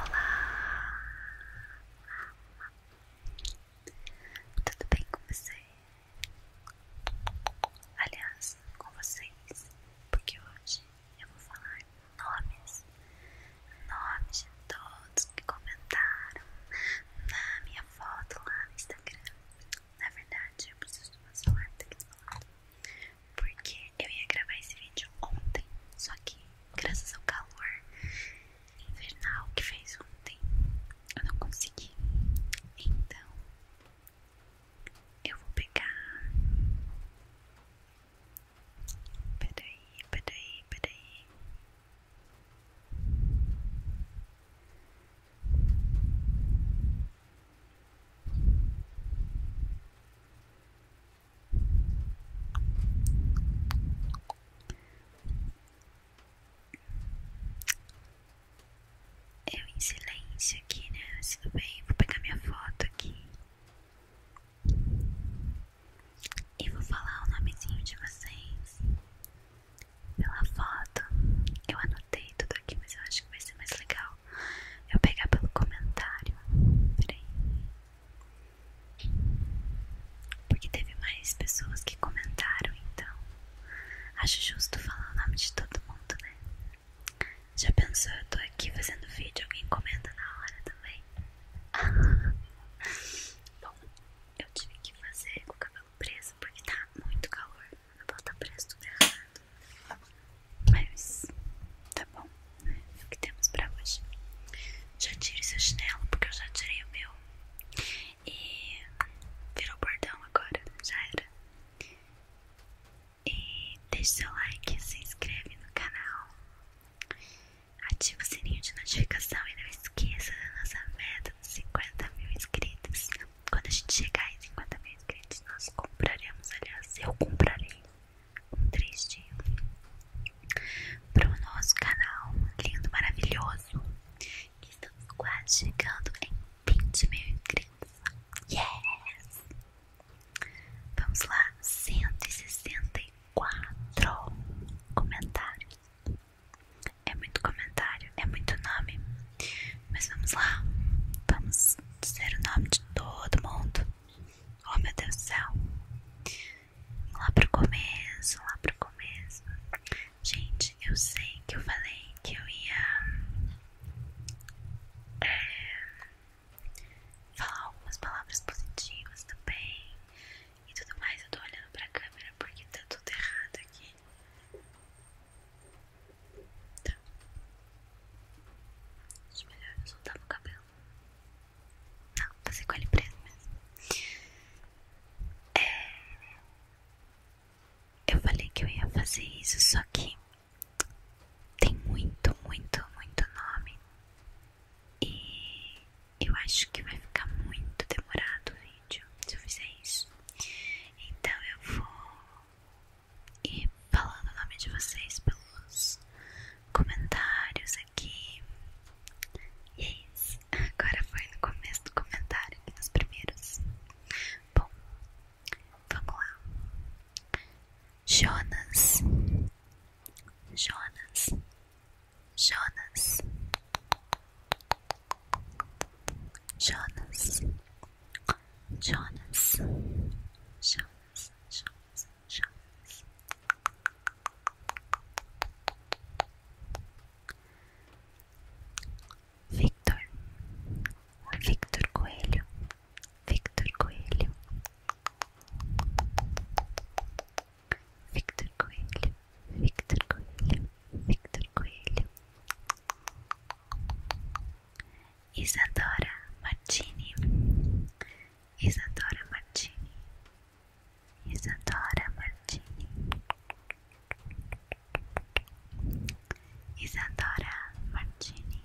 Olá! Tudo bem com você? Aliás, com vocês, porque hoje eu vou falar nomes, nomes de todos que comentaram na minha foto lá no Instagram. Na verdade, eu preciso do meu celular, aqui Porque eu ia gravar esse vídeo ontem, só que graças ao calor invernal que fez ontem, eu não consegui. Então, eu vou pegar. Peraí, peraí, peraí. Eu em silêncio aqui, né? tudo bem, vou pegar minha foto aqui e vou falar o nomezinho de vocês pela foto. Eu anotei tudo aqui, mas eu acho que vai ser mais legal eu pegar pelo comentário. Peraí. Porque teve mais pessoas que comentaram, então acho justo falar o nome de todo mundo, né? Já pensou, eu tô aqui fazendo vídeo, alguém comenta na hora também? Bom, eu tive que fazer com o cabelo preso porque tá muito calor. Não posso estar preso tudo errado. Mas tá bom o que temos pra hoje. Já tire seu chinelo, porque eu já tirei o meu. E virou bordão agora, já era. E deixe seu like, se inscreve no canal, ativa o sininho de notificação e não esqueça da nossa meta dos 50 mil inscritos. Quando a gente chegar em 50 mil inscritos, nós compraremos, aliás, eu comprarei triste o nosso canal lindo, maravilhoso. Que estamos quase chegando em 20 mil inscritos. Yes! Vamos lá, 164 comentários. É muito comentário, é muito nome. Mas vamos lá, vamos dizer o nome de todo mundo. Oh meu Deus do céu! lá pro começo, lá pro começo. Gente, eu sei que eu falei que eu ia é, falar algumas palavras positivas também e tudo mais. Eu tô olhando pra câmera porque tá tudo errado aqui. Tá. Acho melhor eu soltar o cabelo. Não, você ficou ali preso mesmo. É, eu falei que eu ia fazer isso, só que tem muito, muito, muito nome. E eu acho que vai ficar muito demorado o vídeo se eu fizer isso. Então eu vou ir falando o nome de vocês pelos comentários que E é isso. Agora foi no começo do comentário, nos primeiros. Bom, vamos lá. Jonas. Jonas. Jonas. Jonas. Jonas. Jonas. Jonas chaves. Victor, Victor Coelho, Victor Coelho, Victor Coelho, Victor Coelho, Victor Coelho, Isadora Martini, Isadora Martini, Isadora Martini, Isadora Martini.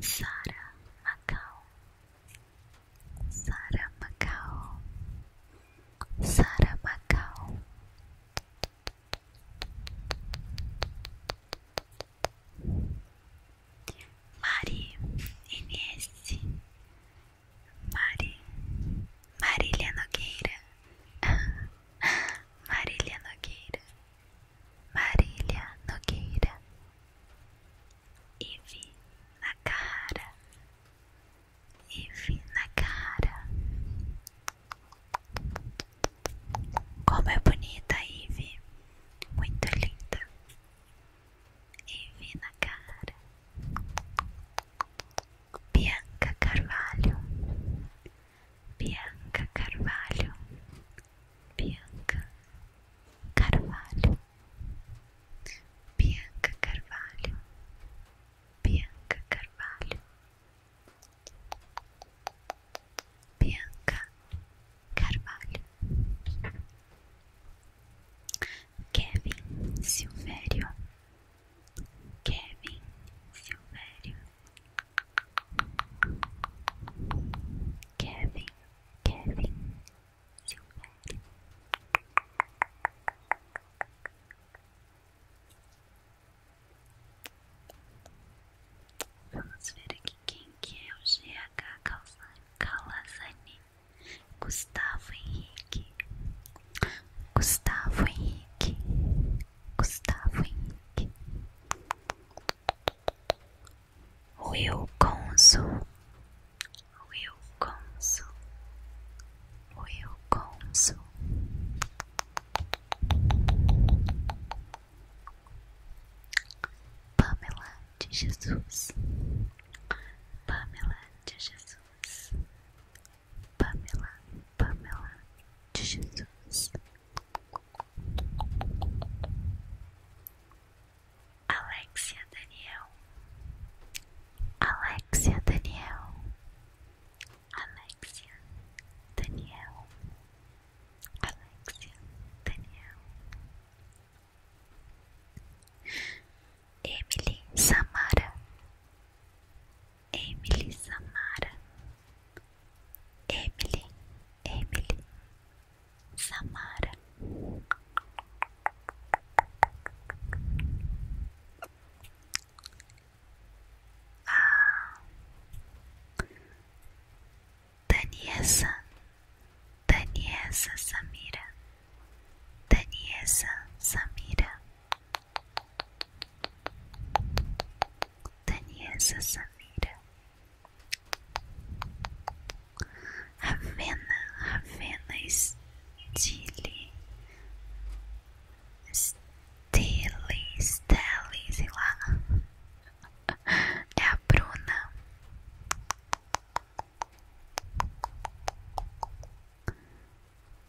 Sara Macau, Sara Macau, Sara Macau, Mari Inês Mari Marília Nogueira Marília Nogueira Marília Nogueira Ive na cara enfim, na cara. Como é bonita, Ivy. Muito linda. Ivy na cara. Bianca Carvalho. Bianca Carvalho. Bianca Carvalho. Bianca Carvalho. Bianca Carvalho. Bianca Carvalho, Kevin Silvério, Kevin Silvério, Kevin, Kevin Silvério. Vamos ver aqui quem que é o GH Calazani. Gustavo Henrique. Gustavo Henrique. Gustavo Henrique. Will Consul. Will Consul. Will Consul. Pamela de Jesus, Pamela de Jesus, Pamela, Pamela de Jesus. Alexia Daniel, Alexia Daniel, Alexia Danielle Alexia Danielle Emily Samara Emily Samara Emily Emily Samara a Daniela Daniessa Samira, Daniela Samira, Daniela Samira, Ravena, Ravena Stile. Tilly, Stelly, sei lá. É a Bruna.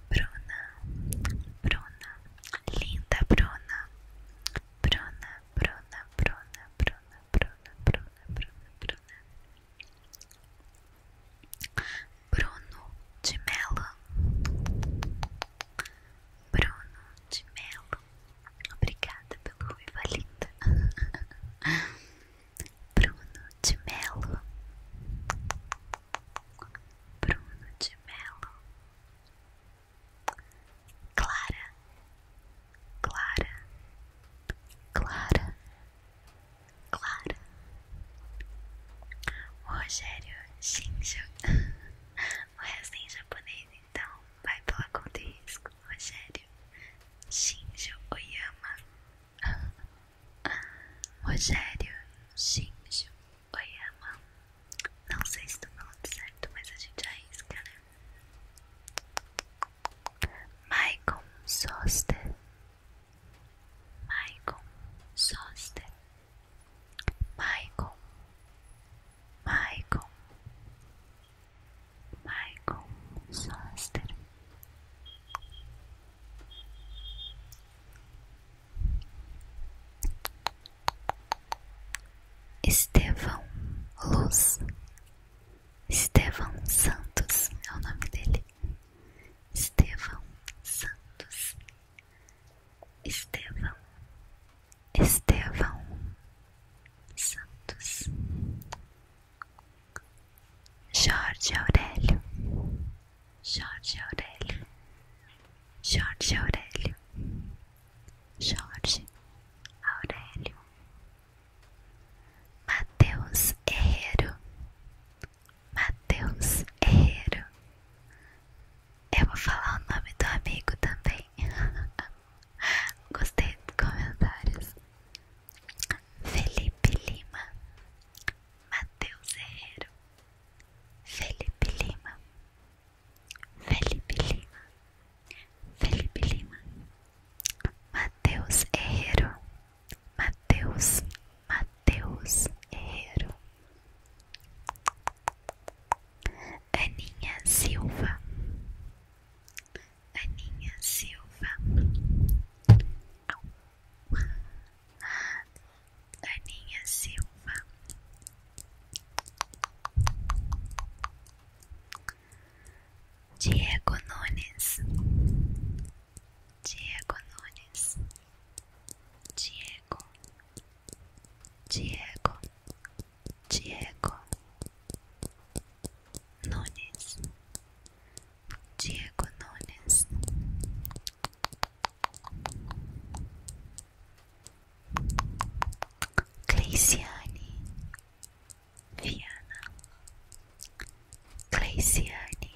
Bruna, Bruna, linda Bruna. Bruna, Bruna, Bruna, Bruna, Bruna, Bruna, Bruna, Bruna. Bruno de Mello Bruno de Mello Obrigada pelo ruiva linda Bruno de Mello Bruno de Mello Clara Clara Clara Clara o Rogério Shinjo. o resto é em japonês, então vai pela conta e risco. Rogério Shinjo Oyama. Rogério Shinjo Oyama. Não sei se estou falando certo, mas a gente arrisca, né? Michael Soster Michael Soster, Michael, Michael, Michael Soster. Estevão Luz, Estevão Santos é o nome dele. Estevão Santos Estevão, Estevão Santos, Jorge Aurélio, Jorge Aurélio, Jorge Aurélio, Jorge Aurélio, Mateus Herrero, Matheus Herreiro. Eu vou falar o nome do amigo também. Gostei dos comentários. Felipe Lima. Matheus Herreiro. Felipe Lima. Felipe Lima. Felipe Lima. Matheus Herreiro. Matheus Mateus Herrero, Aninha Silva, Aninha Silva, Aninha Silva, Diego Nunes, Diego Nunes. Diego, Diego, Diego, Nunes, Diego Nunes. Gleiciane Viana Gleiciane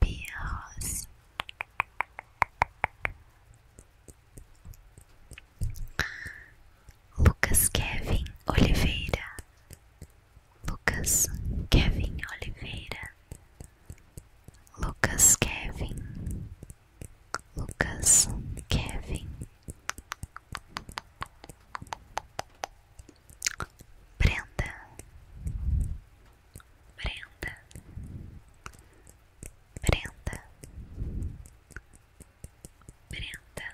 birros. Lucas Kevin Oliveira. Lucas Kevin Oliveira. Lucas Kevin. Lucas Kevin. Brenda. Brenda, Brenda, Brenda,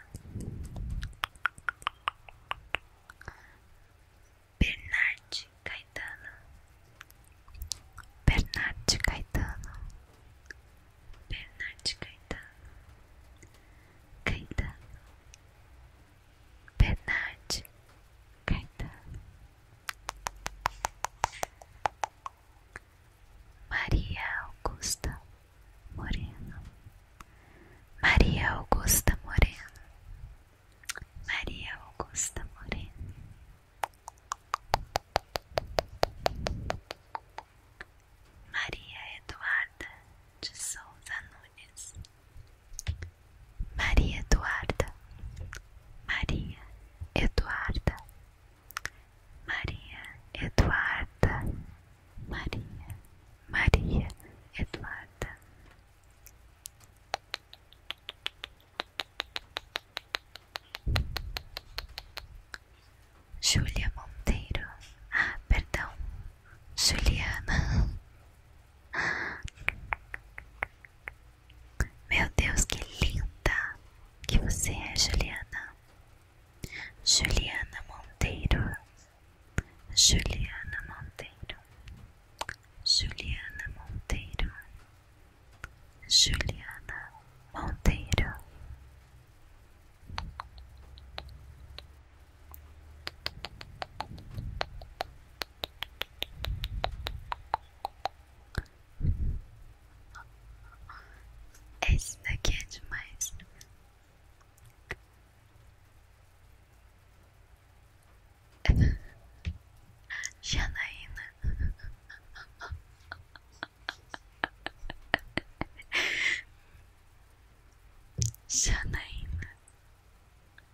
Bernard Caetano, Bernard Caetano, Bernard Caetano, Caetano. Bernard Caetano, Maria Augusta Moreno, Maria Augusta Moreno, Maria Augusta Moreno, Maria Eduarda de Souza Nunes. Maria Eduarda, Maria Eduarda, Maria Eduarda, Maria, Maria Eduarda. Júlia Monteiro, ah, perdão, Juliana. Meu Deus, que linda que você é, Juliana. Juliana Monteiro. Juliana Monteiro. Juliana Monteiro. Juliana Monteiro. Esse daqui é demais. Janaína. Janaína.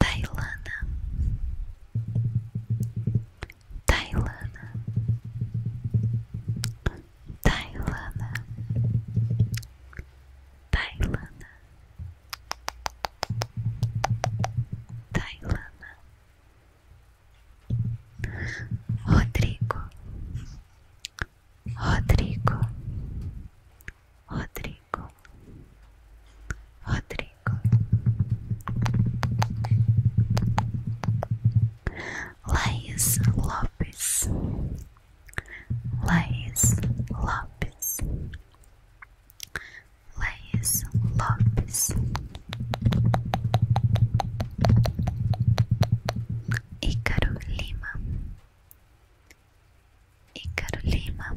Tailana Tailana Tailana Tailana Tailana Rodrigo Rodrigo Rodrigo Rodrigo Laís Lopes, Laís Lopes, Laís Lopes, Icaro Lima, Icaro Lima,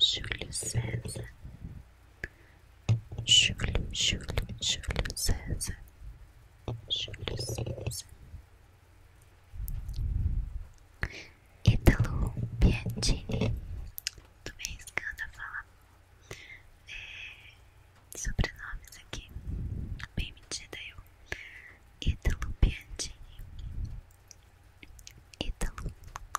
Júlio César, Júlio, Júlio, Júlio César, Júlio César, Italo Piantini, tô me arriscando falar é, sobrenomes aqui, bem metida eu, Italo Piantini, Italo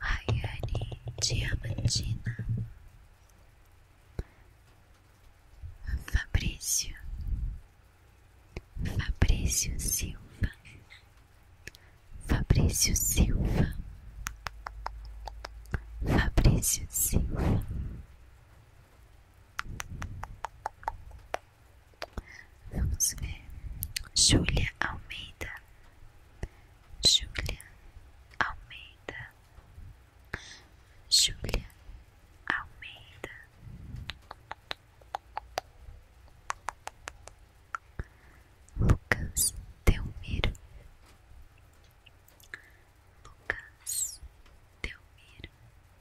Rayane Diamantina, Fabrício, Fabrício Silva, Fabrício Silva, Fabrício Silva. Vamos ver. Júlia Almeida. Júlia Almeida. Júlia Almeida. Lucas Delmiro. Lucas Delmiro.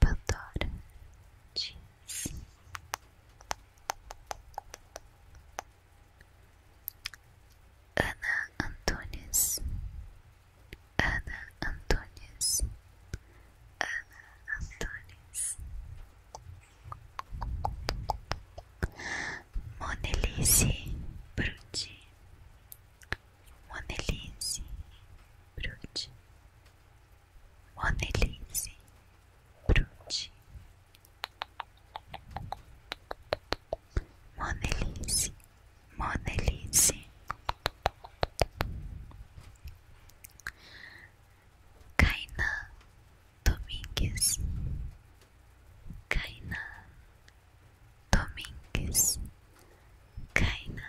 Pandora diz Ana Antunes, Ana Antunes, Ana Antunes, Monelice Bruti, uma delícia, Brute. Uma delícia, Brute. Monelice, Monelice. Kainan Domingues, Kaina Domingues, Kaina.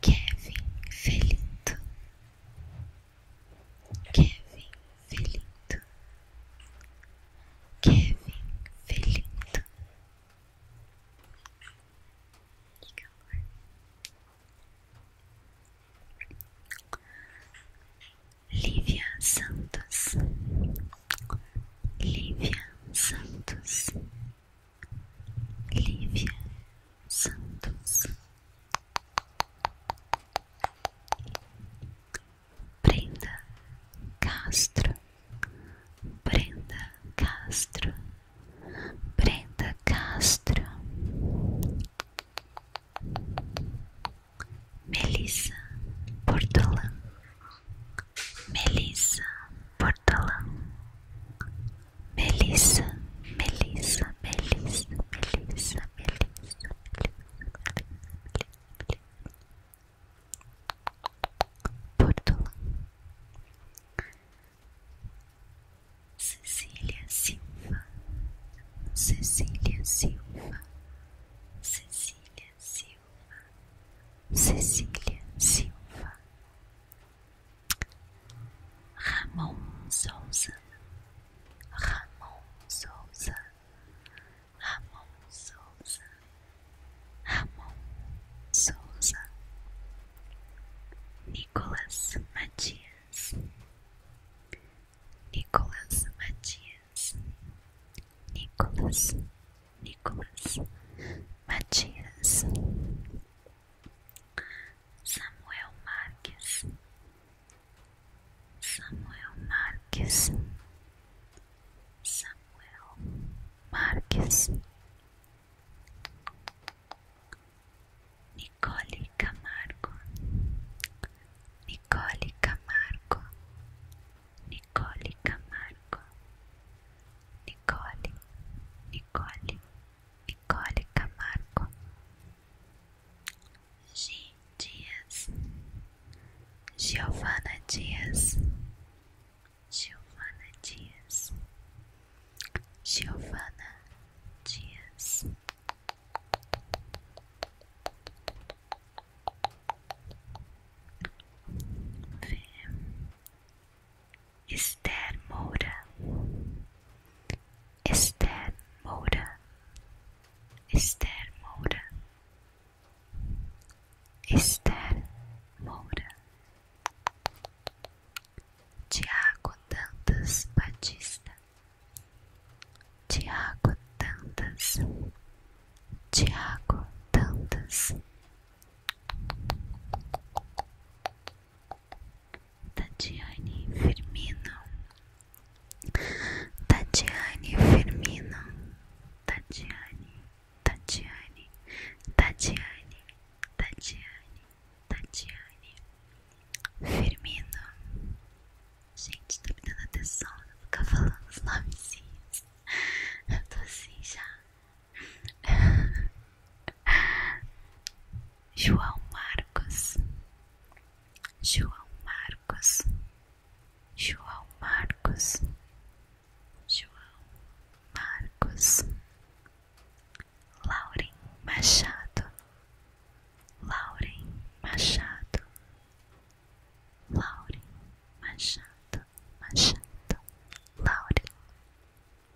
Kevin Felinto, Kevin Felinto, Kevin Felinto. Que Santos, Lívia Santos. Lívia Santos, Lívia Santos, Brenda Castro, Brenda Castro, Brenda Castro, Melissa Portolan, Melissa Portolan, Melissa, Melissa, Melissa, Melissa, Melissa. Melissa, Melissa, Melissa, Porto. Cecília Silva, Cecília Silva, Cecília Silva, Cecília Silva, Ramon Souza, Ramon Souza, Ramon Souza, Ramon Souza, Nicolas Matias, Nicolas Matias, Nicolas, Nicolas Matias. Samuel Marques, Samuel Marques, Samuel Marques, Nicole Camargo, Nicole Camargo, Nicole Camargo, Nicole, Nicole. Nicole Camargo, G. Dias, Giovana Dias, Giovana Dias, Giovana Dias. V Esther Moura, Esther Moura, Esther Moura, Esther Moura, Tiago Dantas Batista, Tiago Dantas, Tiago Dantas. Tatiane Firmino, Tatiane Firmino, Tatiane, Tatiane, Tatiane, Tatiane, Firmino. Gente, tá me dando atenção, não ficar falando os nomezinhos. Eu tô assim já João Marcos, João Marcos, João Marcos, João Marcos, Lauren Machado, Lauren Machado, Lauren Machado, Machado, Lauren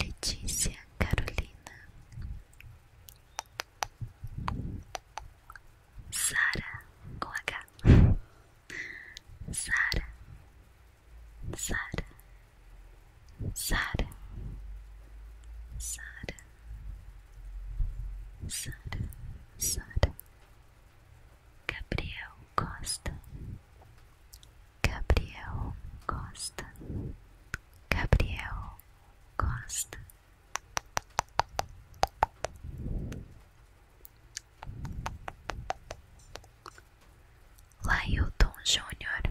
Letícia Carolina, Sara com H, Sara, Sara, Sara, Sara, Sara, Sara, Gabriel Costa. Gabriel Costa, Gabriel Costa. Lailton Júnior,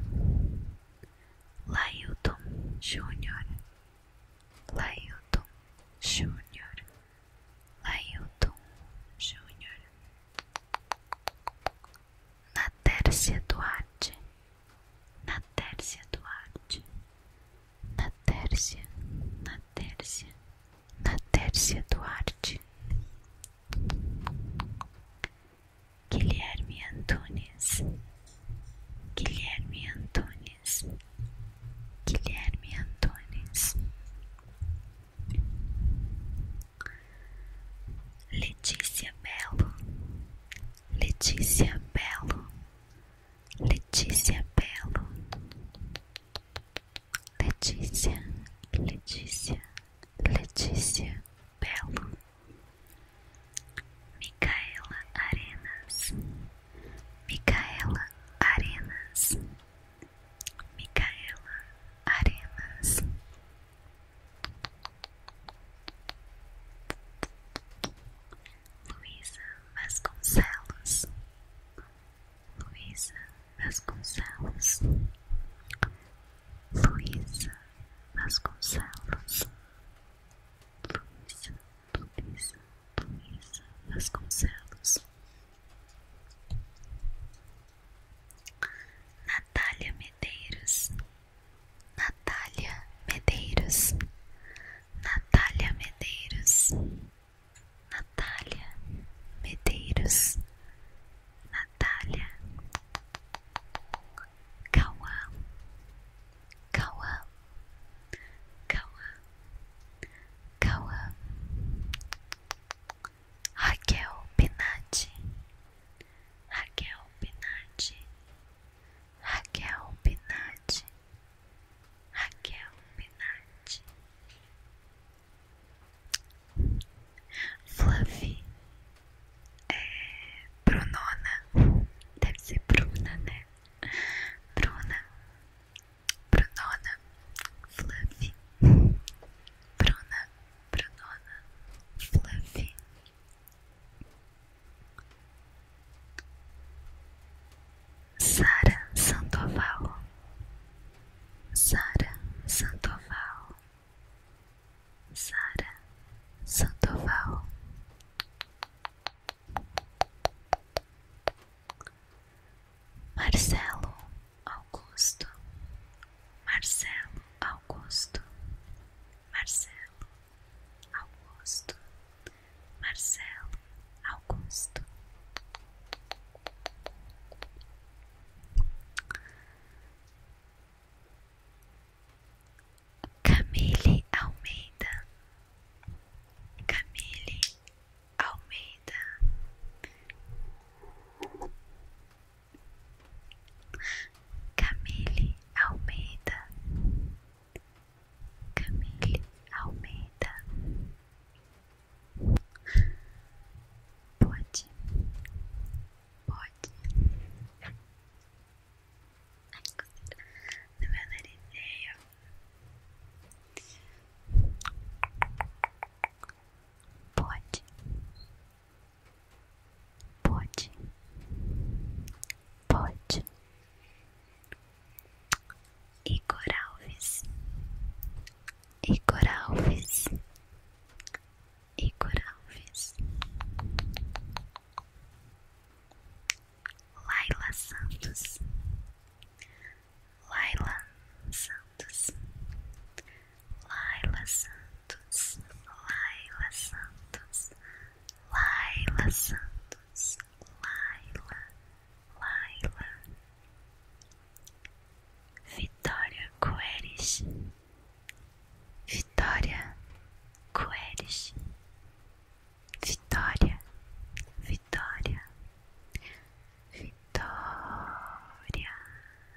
Lailton Júnior, Lailton Júnior, Lailton Júnior, na Tércia Duarte, na Tércia Duarte, na Tércia, na Tércia, na Tércia Duarte, Guilherme Antunes, Guilherme Antunes, Guilherme Antunes. Letícia Belo, Letícia Belo, Letícia Belo, Letícia, Letícia, Letícia Belo, Micaela Arenas, Micaela Arenas. Micaela Arenas. Luiza Vasconcelos, Luiza Vasconcelos, Luiza Vasconcelos, Luiza, Luiza, Luiza Vasconcelos, Natália Medeiros, Natália Medeiros, Natália Medeiros, Natália Medeiros, Natália Cauã, Cauã, Cauã, Cauã, Raquel Pinati, Raquel Pinati, Raquel Pinati, Raquel Pinati, Fluffy é Brunona, deve ser Bruna, né? Bruna, Brunona, Fluffy, Bruna pra Dona Fluffy. Sara Santoval, Sara Santoval, Sara Santoval. Marcelo Augusto, Marcelo Augusto, Marcelo Augusto, Marcelo Augusto. Camille Almeida, Camille Almeida, Camille Almeida Camille Almeida Pode Pode não coceira No meu Pode, pode, pode. Igor Alves, Igor Alves, Igor Alves, Laila Santos. Laila Santos, Laila Santos, Laila Santos, Laila Santos, Laila, Laila, Vitória Coeres, Vitória Coeres, Vitória, Vitória, Vitória.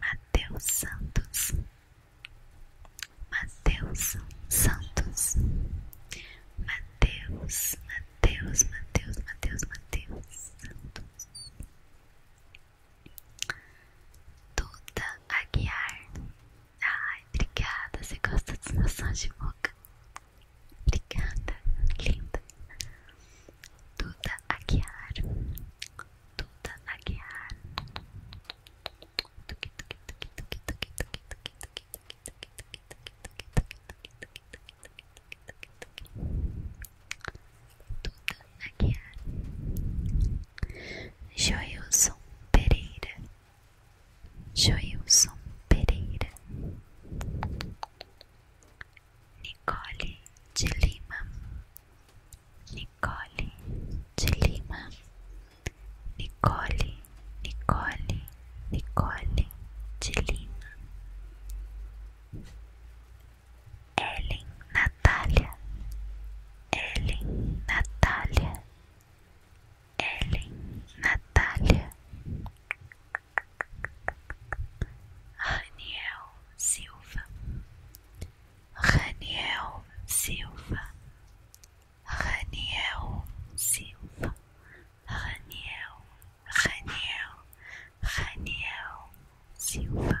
Mateus Santos, Mateus Santos, Mateus, Mateus, Mateus, Mateus, Mateus Santos, a Aguiar, Ai, obrigada. Você gosta dos meus de boca? Obrigada, linda. Duda Aguiar. Duda Aguiar. Duda Aguiar. Joilson Pereira. Joilson Pereira, Nicole de Lima, Nicole de Lima, Nicole, Nicole, Nicole de Lima, Ellen Natália, Ellen Natália. Ellen, Natália, Raniel Silva, Raniel Silva, Raniel Silva, Raniel, Raniel, Raniel Silva.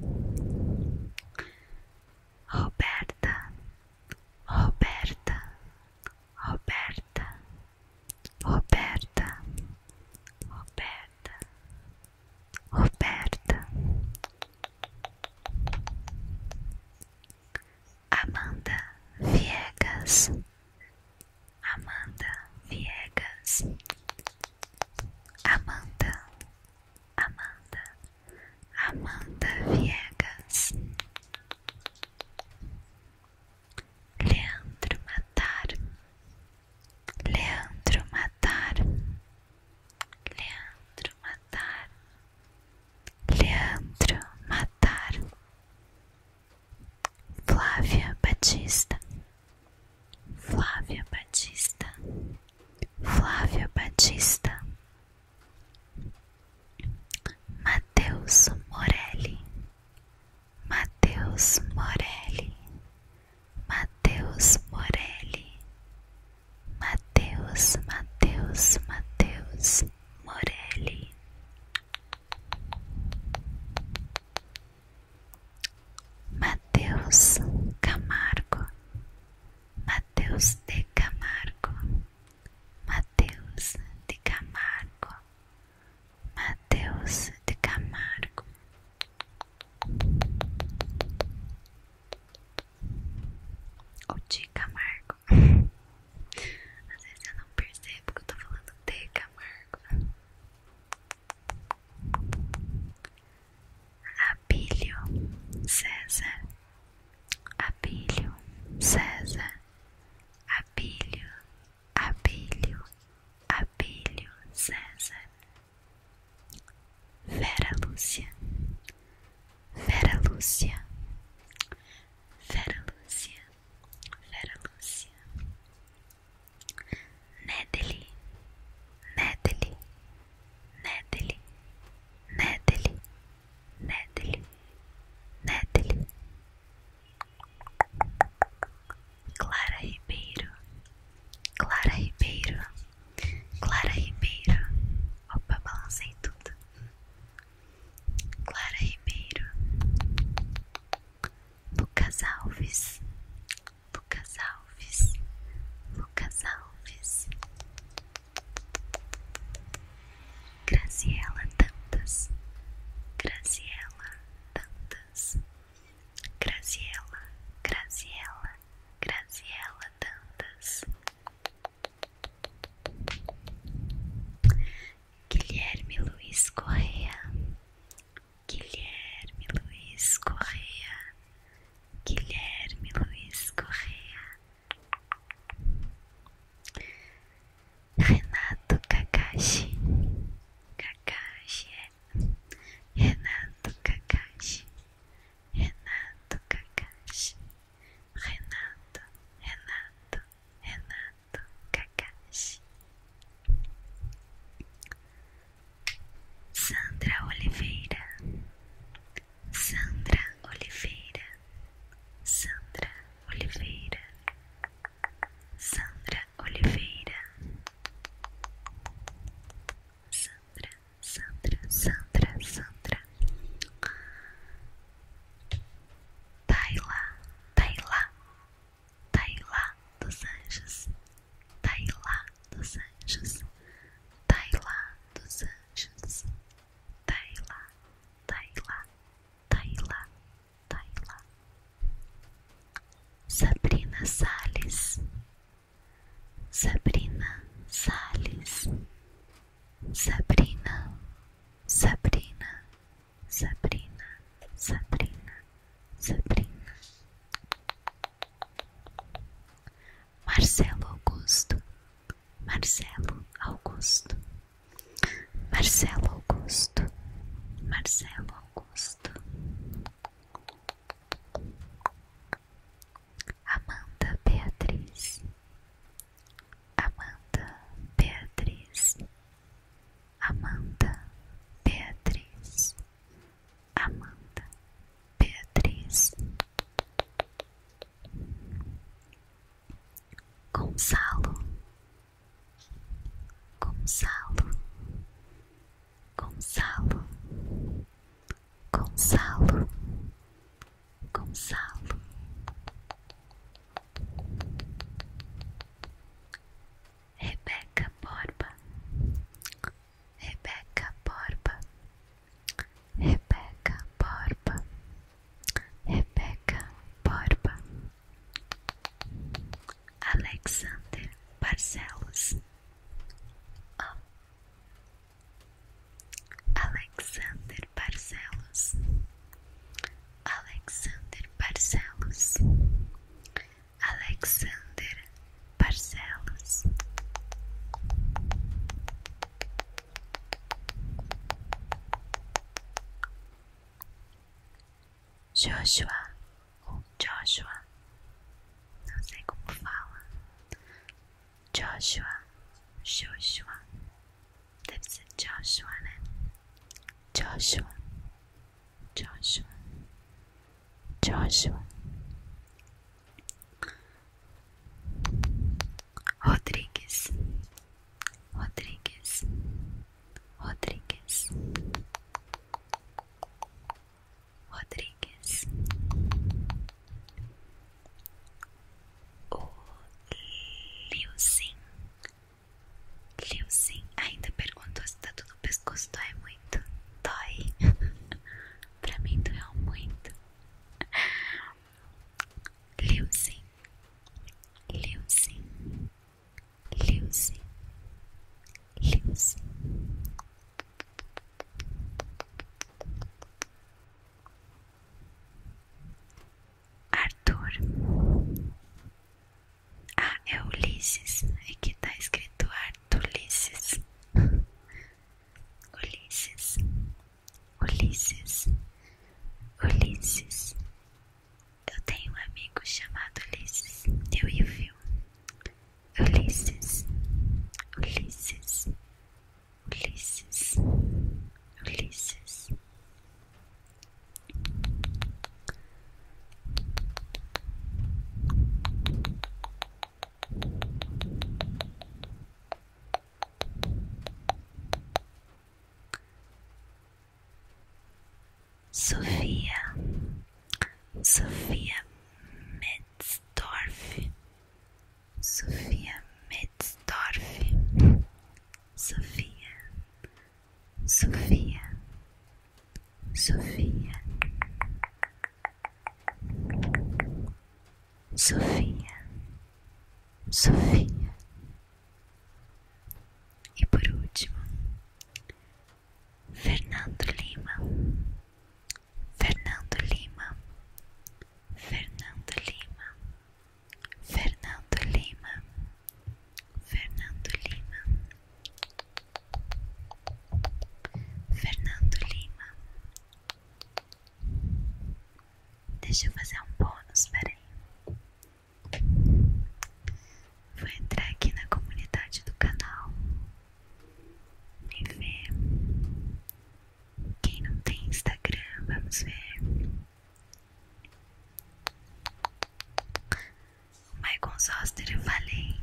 Roberta, Roberta, Roberta, Roberta, Roberta, Roberta, Amanda Viegas, Amanda Viegas, Amanda Amanda, Amanda Viegas, Leandro Matar, Leandro Matar, Leandro Matar, Leandro Matar, Flávia Batista, Flávia Batista. Flávio Batista, Mateus Morelli, Mateus Morelli, Mateus Morelli, Mateus, Mateus, Mateus Morelli. Mateus Camargo, Mateus de Camargo, Mateus de Camargo, Mateus de Camargo. Ou de Camargo. Às vezes eu não percebo que eu estou falando de Camargo. Abílio César, Abílio César, Abílio, Abílio, Abílio César, Vera Lucia, Vera Lúcia, Vera Lúcia, Vera Lucia. Natalie, Natalie, Natalie, Natalie, Natalie, Natalie, Clara Ribeiro, Clara Ribeiro, Clara Ribeiro. Opa, balancei tudo. Clara Ribeiro, Lucas Alves, Lucas Alves, Lucas Alves, Graziela Tantas, Graziela Tantas, Graziela, Graziela, Graziela Tantas, Guilherme Luiz Correa. Guilherme Luiz Correa. Guilherme Luiz Correa, Renato Kakashi, Kakashi, é. Renato Kakashi, Renato Kakashi, Renato, Renato, Renato Kakashi. Sandra Oliveira, Sandra Oliveira, Sandra Oliveira, Sandra Oliveira, Sandra, Sandra, Sandra, Sandra, Taila, Taila, Taila dos Anjos, Taila dos anjos, Tailá dos anjos, Tailá, Tailá, Tailá, Tailá. Sabrina Sales, Sabrina Sales, Sabrina, Sabrina, Sabrina, Sabrina, Sabrina. Marcelo Augusto, Marcelo Augusto, Marcelo Augusto, Marcelo Augusto, Amanda Beatriz, Amanda Beatriz, Amanda Beatriz. Amanda, Beatriz, Gonçalo, Gonçalo, Gonçalo, Gonçalo, Gonçalo. Rebeca Borba, Rebeca Borba, Rebeca Borba, Rebeca Borba, Alexander Barcelos, ah. Alexander Barcelos, Alexander Barcelos, Alexander Barcelos. Joshua ou Joshua, não sei como fala. Joshua, Joshua, deve ser Joshua, né? Joshua, Joshua, Joshua Rodrigues, Rodrigues, Rodrigues, Rodrigues, o Liu Liusin ainda perguntou se tá tudo bem pescoço é muito. Dói. pra mim doeu muito. Leusin. Leusin. Leusin. Leusin. Arthur. Ah, é Ulisses. É que tá escrito Arthur. Ulisses, Ulisses, Ulisses, Ulisses. Eu tenho um amigo chamado Ulisses. Eu e o Phil. Ulisses, Ulisses, Ulisses, Ulisses. Sophia, Sophia Metzdorf, Sophia Metzdorf, Sophia, Sophia, Sophia, Sofia, Sofia. E por último, Fernando Lima, Fernando Lima, Fernando Lima, Fernando Lima, Fernando Lima. Fernando Lima. Deixa eu fazer um bônus, peraí. Vou entrar aqui na comunidade do canal e ver. Quem não tem Instagram, vamos ver. O Michael Zoster, eu falei.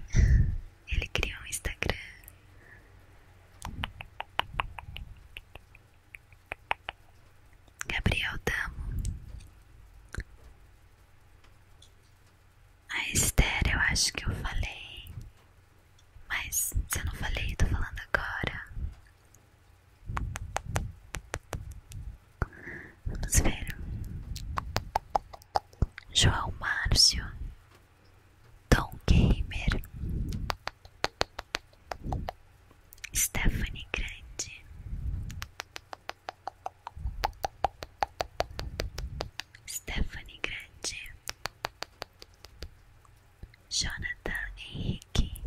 Ele criou um Instagram. Gabriel Damo. A Esther, eu acho que eu falei. Mas se eu não falei, eu tô falando agora. Vamos ver. João Márcio. Tom Gamer, Stephanie Grande, Stephanie Grande, Jonathan Henrique,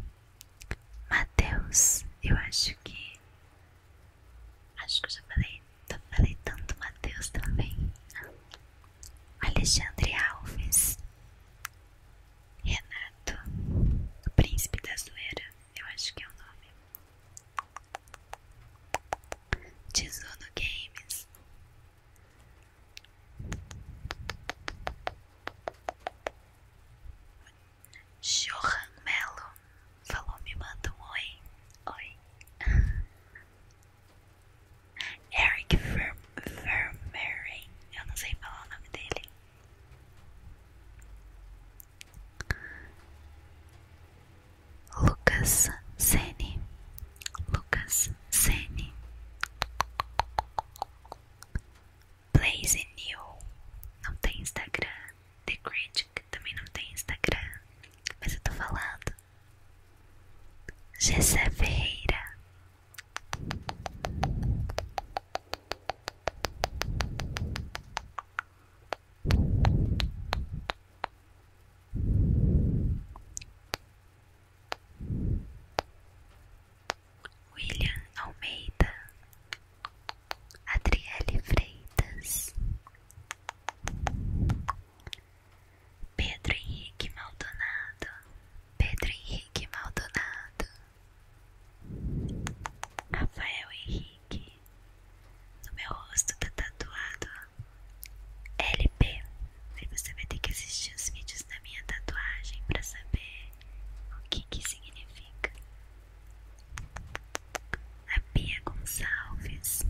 Matheus, eu acho que. Acho que eu já falei, tanto, falei tanto Matheus também. Alexandre Alves. Renato. príncipe da zoeira. Eu acho que é o nome. Tesouro Games. Johan Melo falou: me manda um oi. Oi. Eric Vermeeren, eu não sei falar o nome dele. Lucas Sene, Lucas Sene, Blaze New, não tem Instagram. The Critic também não tem Instagram, mas eu tô falando Gessé Ferreira William Almeida Adriele Freitas Pedro Henrique Maldonado, Pedro Henrique Maldonado, Rafael Henrique, no meu rosto tá tatuado LP. Aí você vai ter que assistir os vídeos da minha tatuagem para saber o que que significa. A Bia Gonçalves.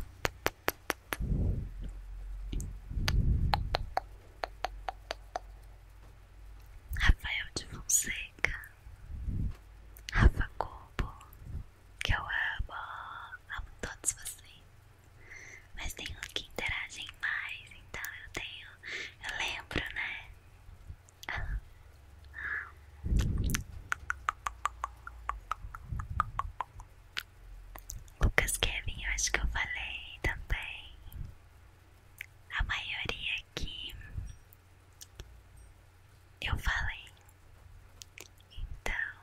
Rafael de Fonseca, Rafa Cobo, que eu amo, amo todos vocês, mas tem uns que interagem mais, então eu tenho, eu lembro, né? Ah. Lucas Kevin, eu acho que eu falei também. A maioria aqui eu falei. Então,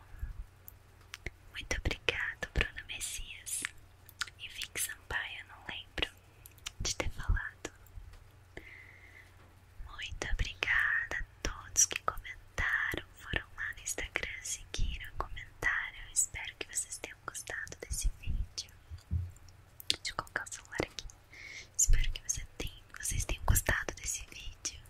muito obrigado, Bruno Messias e Vic Sampaio. Eu não lembro de ter falado. Muito obrigada todos que comentaram, foram lá no Instagram, seguiram, comentaram. espero que vocês tenham gostado desse vídeo. Deixa eu colocar o celular aqui. Espero que vocês tenham gostado desse vídeo.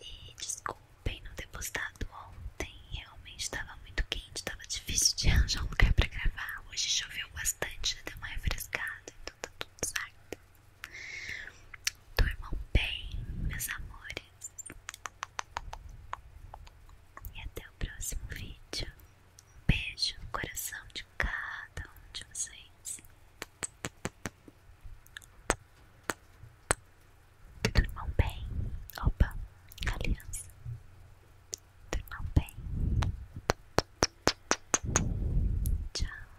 E desculpem não ter postado ontem. Realmente estava muito quente, estava difícil de arranjar um lugar para gravar. Hoje choveu bastante, já deu uma refrescada, então tá tudo certo dormam bem, meus amores. E até o próximo vídeo. Um beijo no coração de cada um de vocês. Durmam bem. Opa, aliança. Durmam bem. Tchau.